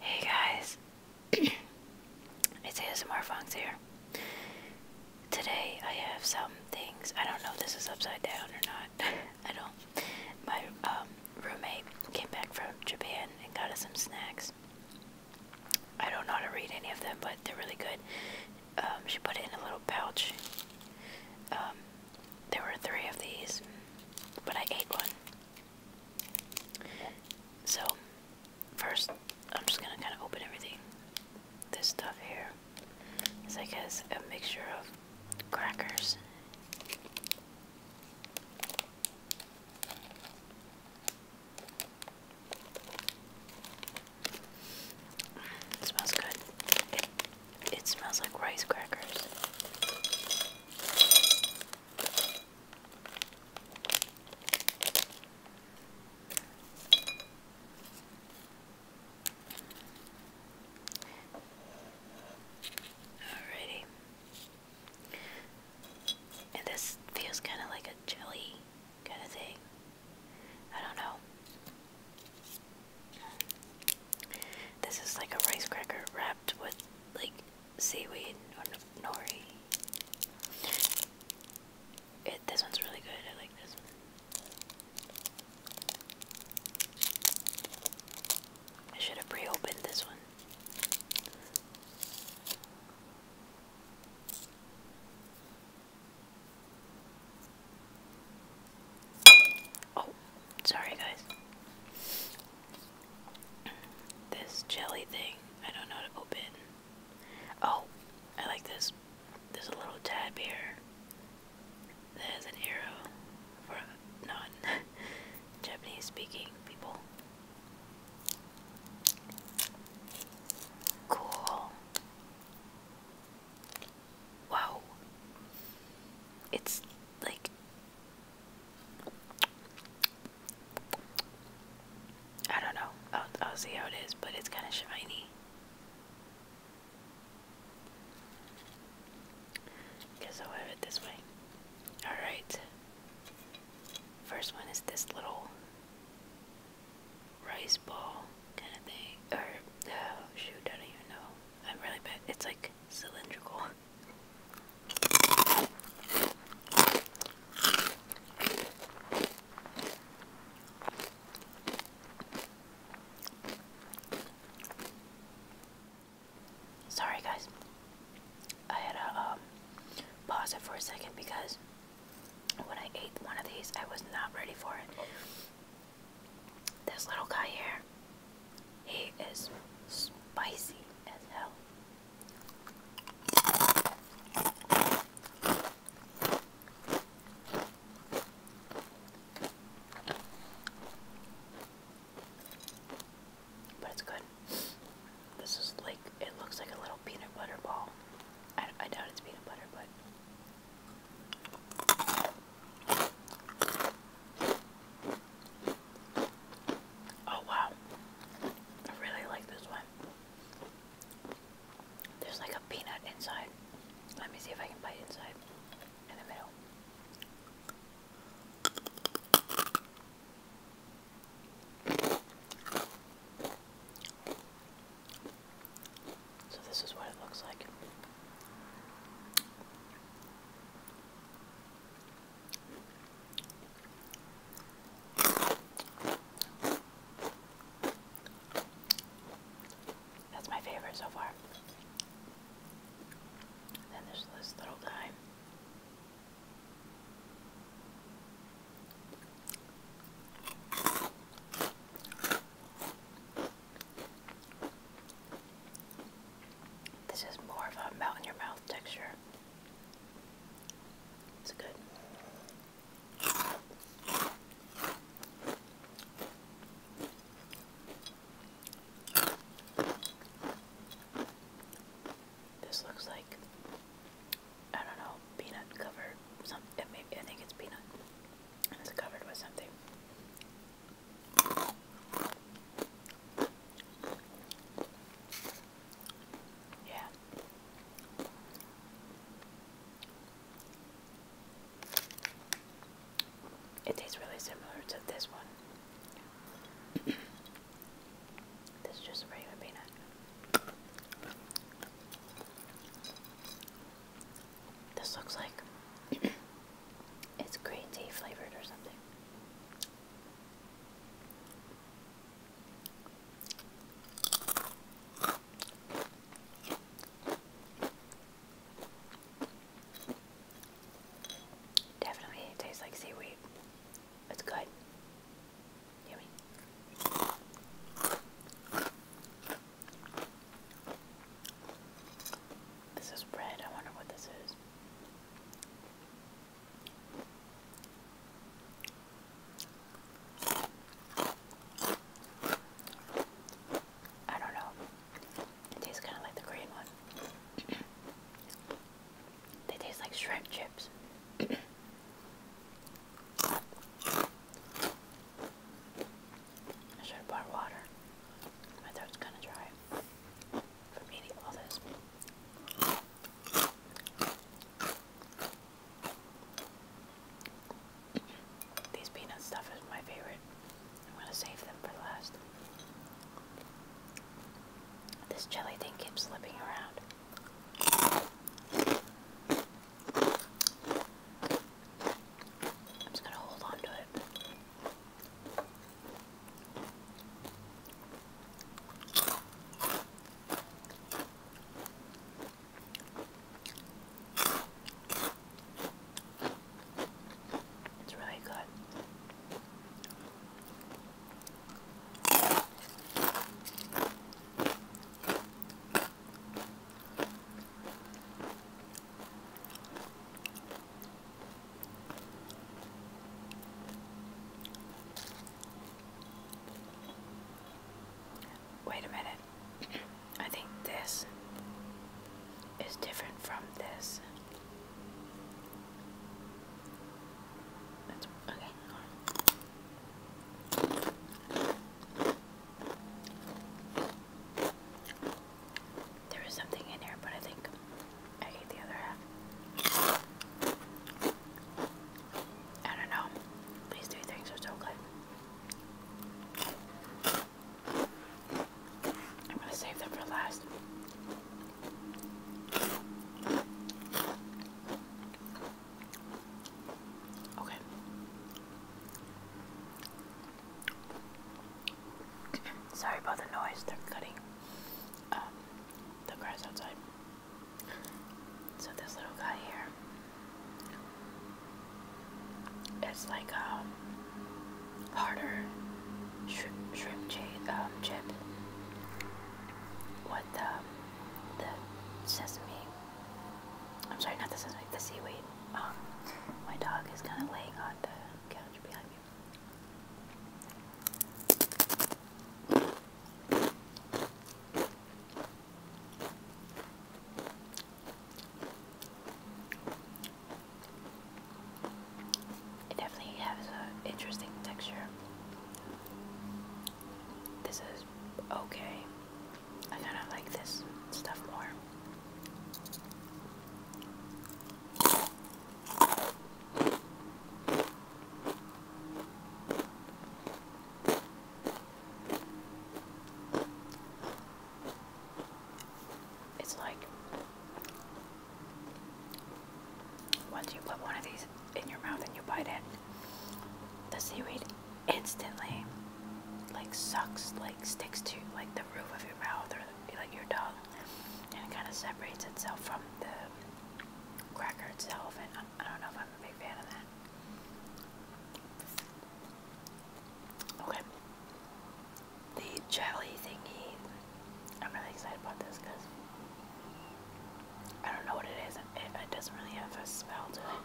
Hey guys, it's ASMR Fox here. Today I have some things. I don't know if this is upside down or not. I don't. My um, roommate came back from Japan and got us some snacks. I don't know how to read any of them, but they're really good. Um, she put it in a little pouch. Um, there were three of these, but I ate one. So, first, I'm just gonna kind of open everything. This stuff here is, I guess, a mixture of crackers. It smells good. It, it smells like rice crackers. Alrighty. And this feels kind of like a jelly kind of thing. I don't know. This is like a rice cracker wrapped with like seaweed or nori. this one's really good. I like this I should have pre-opened this one. Oh, sorry guys. This jelly thing, I don't know how to open. Oh, I like this. There's a little tab here There's an arrow for non Japanese speaking people. Cool. Wow. It's like I don't know. I'll, see how it is, but it's kind of shiny. Guess I'll have it this way. Alright. First one is this little rice ball kind of thing. Or, shoot, I don't even know. I'm really bad. It's like cylindrical. Sorry, guys. I had to um, pause it for a second because when I ate one of these, I was not ready for it. This little guy here, he is spicy as hell but it's good. This is like, it looks like a little peanut butter ball. I, I doubt it's peanut butter, but. Oh wow, I really like this one. There's like a peanut inside. Let me see if I can bite inside in the middle. So this is what it looks like. That's my favorite so far. then there's this little guy. This is more of a melt in your mouth texture. It's good. This looks like I don't know peanut covered. Some it I think it's peanut, it's covered with something. Yeah. It tastes really similar to this one. This is just regular peanut. This looks like it's green tea flavored or something. Definitely tastes like seaweed. It's good. Yummy. This is bread. I wonder what this is. I don't know. It tastes kind of like the green one. they taste like shrimp chips. I should have bought water. My throat's kind of dry from eating all this. These peanut stuff is my favorite. I'm going to save them for last. This jelly thing keeps slipping around. I'm just going to hold on to it. It's really good. Wait a minute. I think this is different from this. okay. There something in here, but I think I ate the other half. I don't know. These things are so good. I'm going to save them for last. Okay. Sorry about the noise. They're cutting um, the grass outside. So this little guy here it's like a um, harder shrimp shrimp chip, um, chip with um, the sesame. I'm sorry, not the sesame, the seaweed. Um, my dog is kind of laying on the couch behind me. It definitely has an interesting texture. This is okay. I kind of like this stuff more. It's like once you put one of these in your mouth and you bite it, the seaweed instantly like sucks, like sticks to like the roof of your mouth or like your tongue, and it kind of separates itself from the cracker itself. And I, I don't know if I'm a big fan of that. Okay. The jelly thingy. I'm really excited about this because I don't know what it is. It, it doesn't really have a smell to it.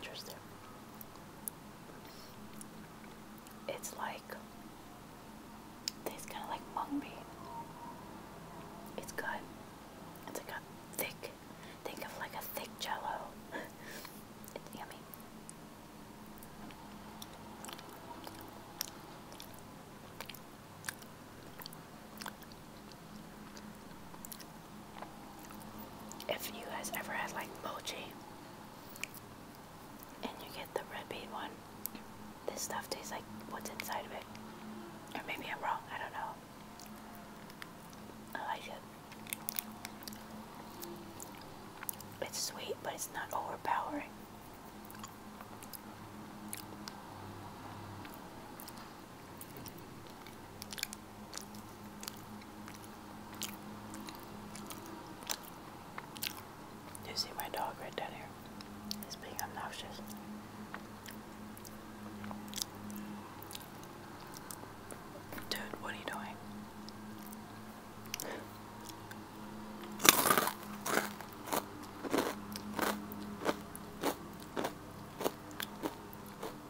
Interesting. It's like tastes kind of like mung bean. It's good. It's like a thick, think of like a thick jello. it's yummy. If you guys ever had like mochi and you get the red bean one, this stuff tastes like what's inside of it. Or maybe I'm wrong, I don't know. I like it. It's sweet, but it's not overpowering. You see my dog right down here? He's being obnoxious. Dude, what are you doing?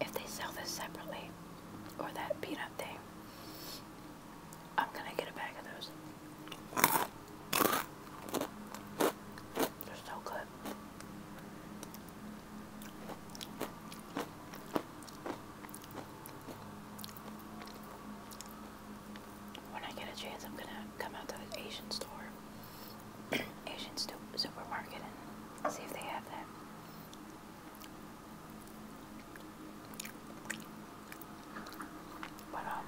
If they sell this separately, or that peanut thing, I'm gonna get a bag of those. They're so good. When I get a chance, I'm gonna come out to the Asian store Asian store, supermarket see if they have that. But um,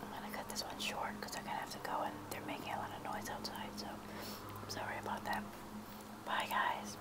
I'm gonna cut this one short because I'm gonna have to go and they're making a lot of noise outside. So sorry about that. Bye, guys.